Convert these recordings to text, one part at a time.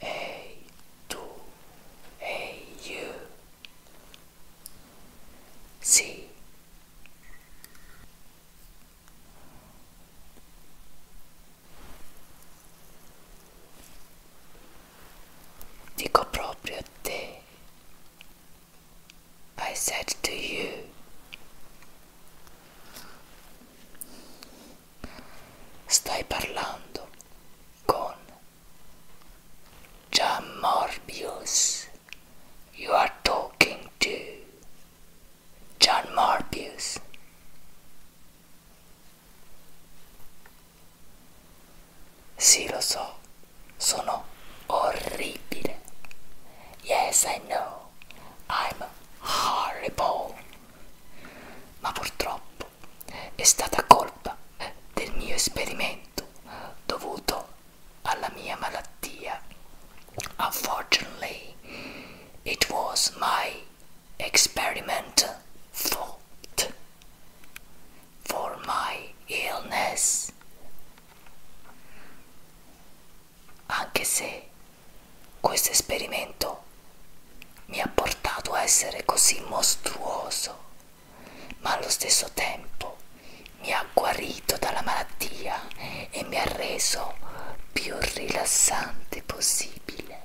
Ehi tu, ehi io, sì. Dico proprio a te I said to you, stai parlando con John Morbius. You are talking to John Morbius. Sì, lo so, sono orribile. Yes, I know, I'm horrible. Ma purtroppo è stata colpa del mio esperimento dovuto alla mia malattia. Unfortunately, it was my experiment fault for my illness anche se questo esperimento mi ha portato a essere così mostruoso ma allo stesso tempo mi ha guarito dalla malattia e mi ha reso più rilassante possibile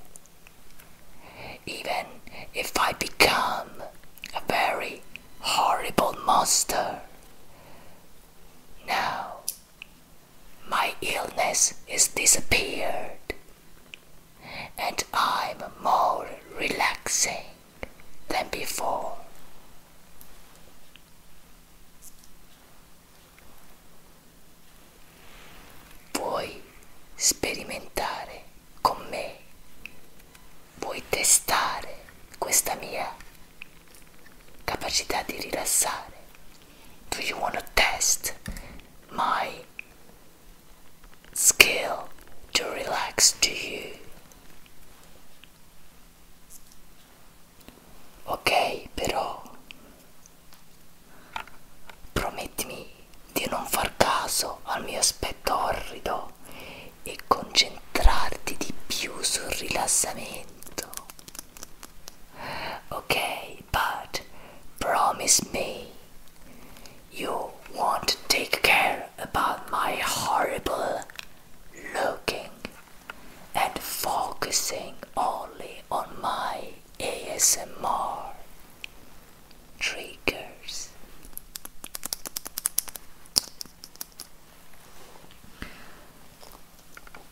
even if I become a very horrible monster. Now, my illness has disappeared, and I'm more relaxing than before. Puoi sperimentare con me puoi testare questa mia capacità di rilassare. Do you want to test my skill to relax to you? Ok, però promettimi di non far caso al mio aspetto orrido e concentrarti more on sul rilassamento. Okay, but promise me you won't take care about my horrible looking and focusing only on my ASMR. triggers.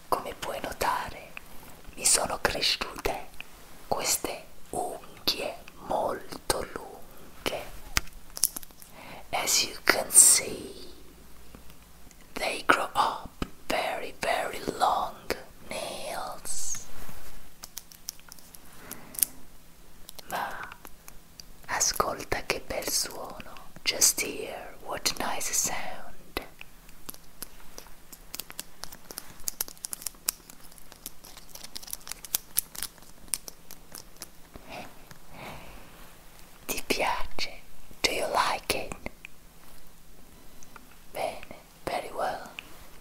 Come puoi notare, mi sono cresciute queste unghie molto lunghe. As you can see, they grow up very, very long nails. Ma, ascolta che bel suono. Just hear what nice sound. Ti piace? Do you like it? Bene, very well.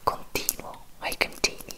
Continuo, I continue.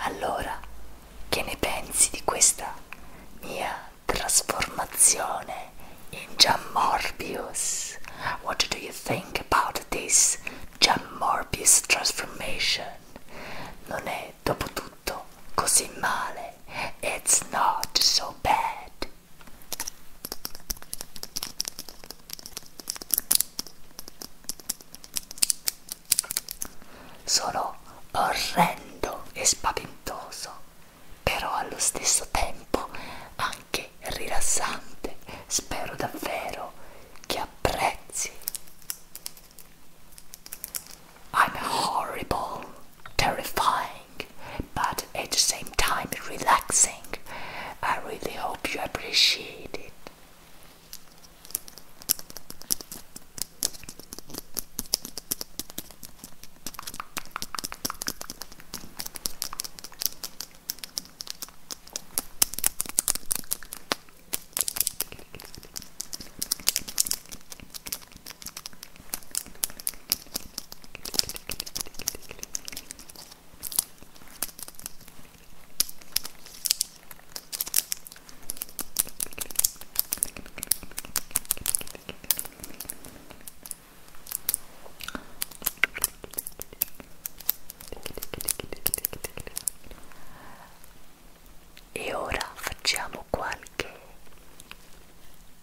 Allora, che ne pensi di questa mia trasformazione in Jammorbius? What do you think about this Jammorbius transformation? Non è dopo tutto così male. It's not so bad. Sono orrendo e spaventoso, però allo stesso tempo anche rilassante. Spero davvero che apprezzi. I'm horrible, terrifying. but at the same time relaxing. I really hope you appreciate it. E ora facciamo qualche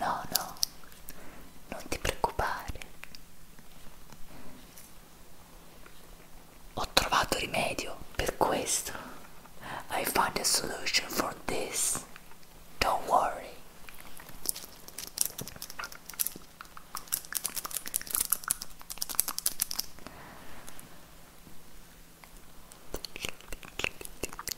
No, no, non ti preoccupare. Ho trovato rimedio per questo. I found a solution for this. Don't worry.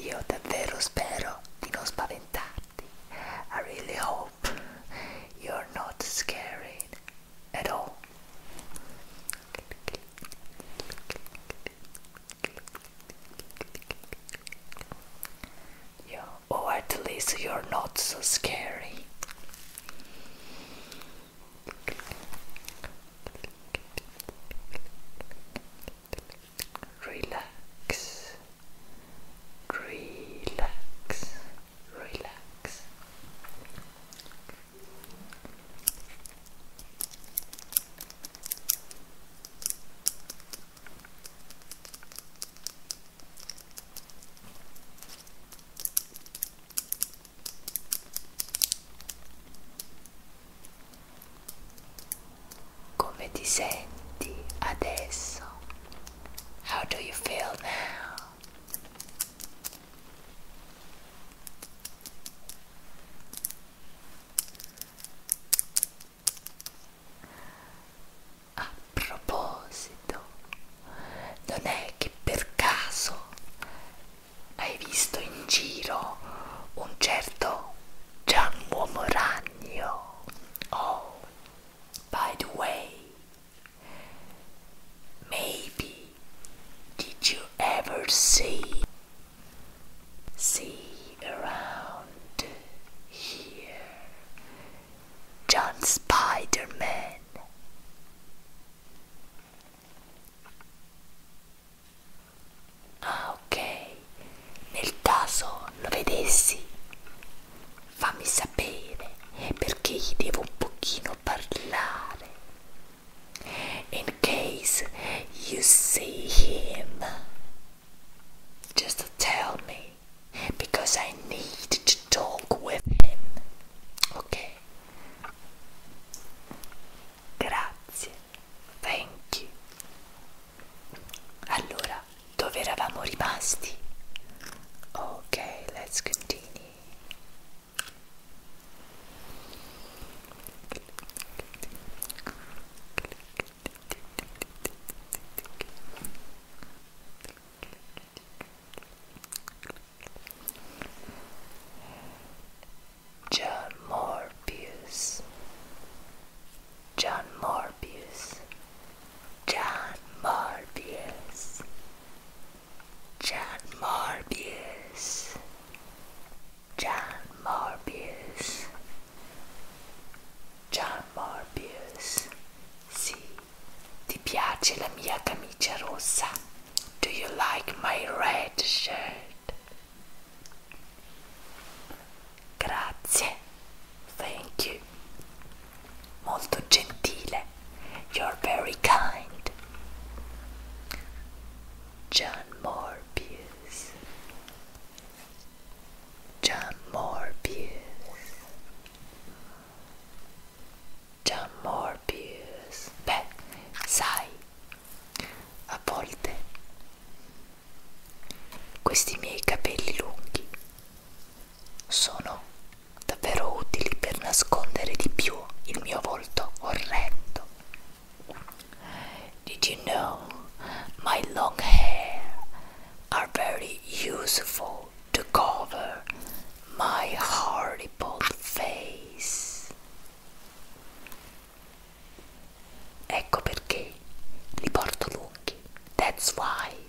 Io davvero spero di non spaventarti. I really hope you're not scary at all. Yeah. Or at least you're not so scary. Relax, relax, relax come ti senti adesso How do you feel now? A proposito, non è che per caso hai visto in giro un certo Gianluomo Ragno? Oh, By the way, maybe did you ever see see around here John Spider-Man? Ah, ok, nel caso lo vedessi fammi sapere perché gli devo un pochino parlare. In case you see him, just tell me because I need to talk with him. Ok? Grazie, thank you. Allora, dove eravamo rimasti ok let's continue John Morbius John Morbius, John Morbius, John Morbius, John Morbius, John Morbius. Sì, Do you like my red shirt? Grazie. Thank you. Molto gentile. You're very kind. John Morbius. John Morbius. John Morbius. Beh, sai, a volte questi miei capelli lunghi sono davvero utili per nascondere di più il mio volto orrendo. Did you know my long hair are very useful to cover my horrible face? Ecco perché li porto lunghi. That's why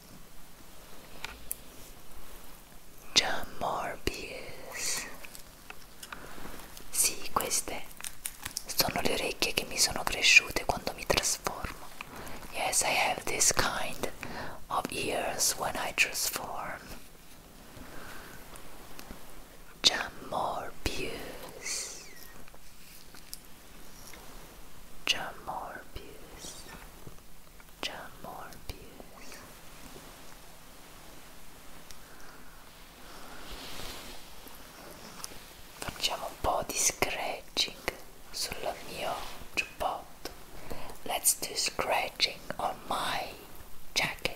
John Morbius Sì, queste sono le orecchie che mi sono cresciute quando mi trasformo Yes, I have this kind of ears when I transform John Morbius John Morbius, John Morbius. Facciamo un po' di scratching sul mio giubbotto. Let's do scratching on my jacket.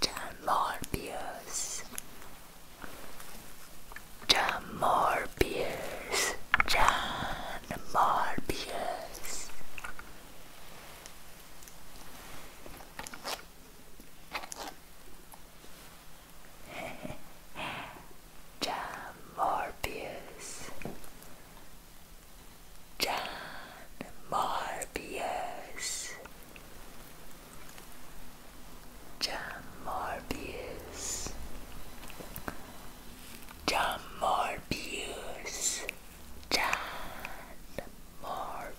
John John Jamorbius John Jamorbius John Morbius. John Morbius. John Morbius. John Morbius. John Morbius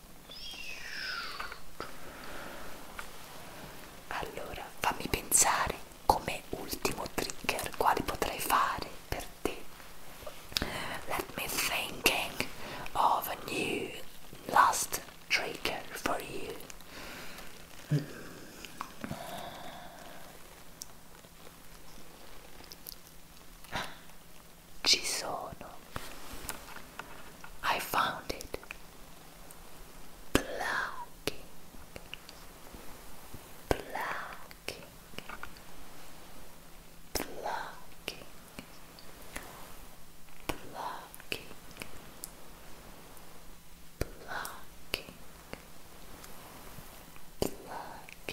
Allora, fammi pensare come ultimo trigger quali potrei fare per te. Let me thinking of a new last trigger for you. Mm. ci I found it. Plucking, plucking, plucking, plucking, plucking, plucking, plucking.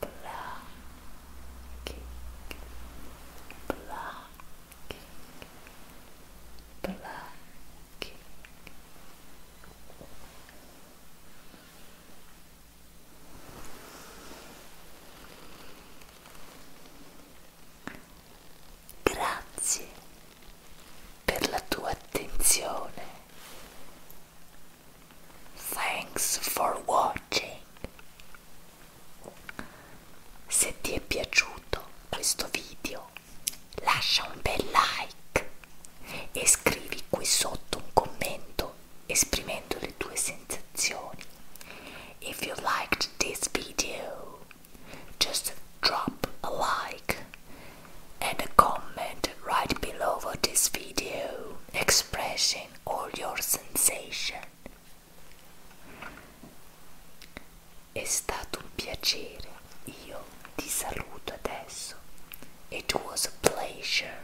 Plucking, plucking, plucking. Grazie per la tua attenzione. Thanks for watching. Se ti è piaciuto questo video, lascia un bel like e scrivi qui sotto un commento esprimendo le tue sensazioni. If you liked this video, just drop a like and a comment right below this video expressing imagine all your sensation. È stato un piacere, io ti saluto adesso. It was a pleasure.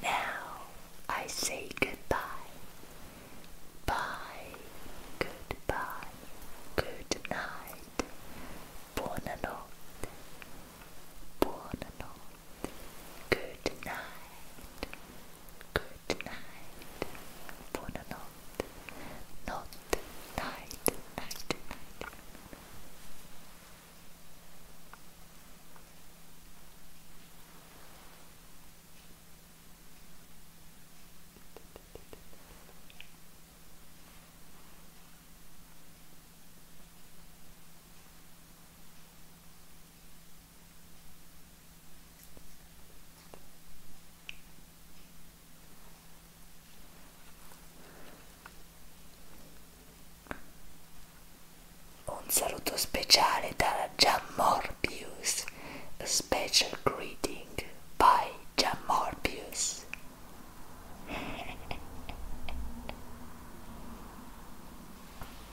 Now I say goodbye. Bye, goodbye, good night. Buonanotte, buonanotte. Good night. Good night. Buona Night. Good night. Un saluto speciale da Jamorbius, a special greeting by Jamorbius.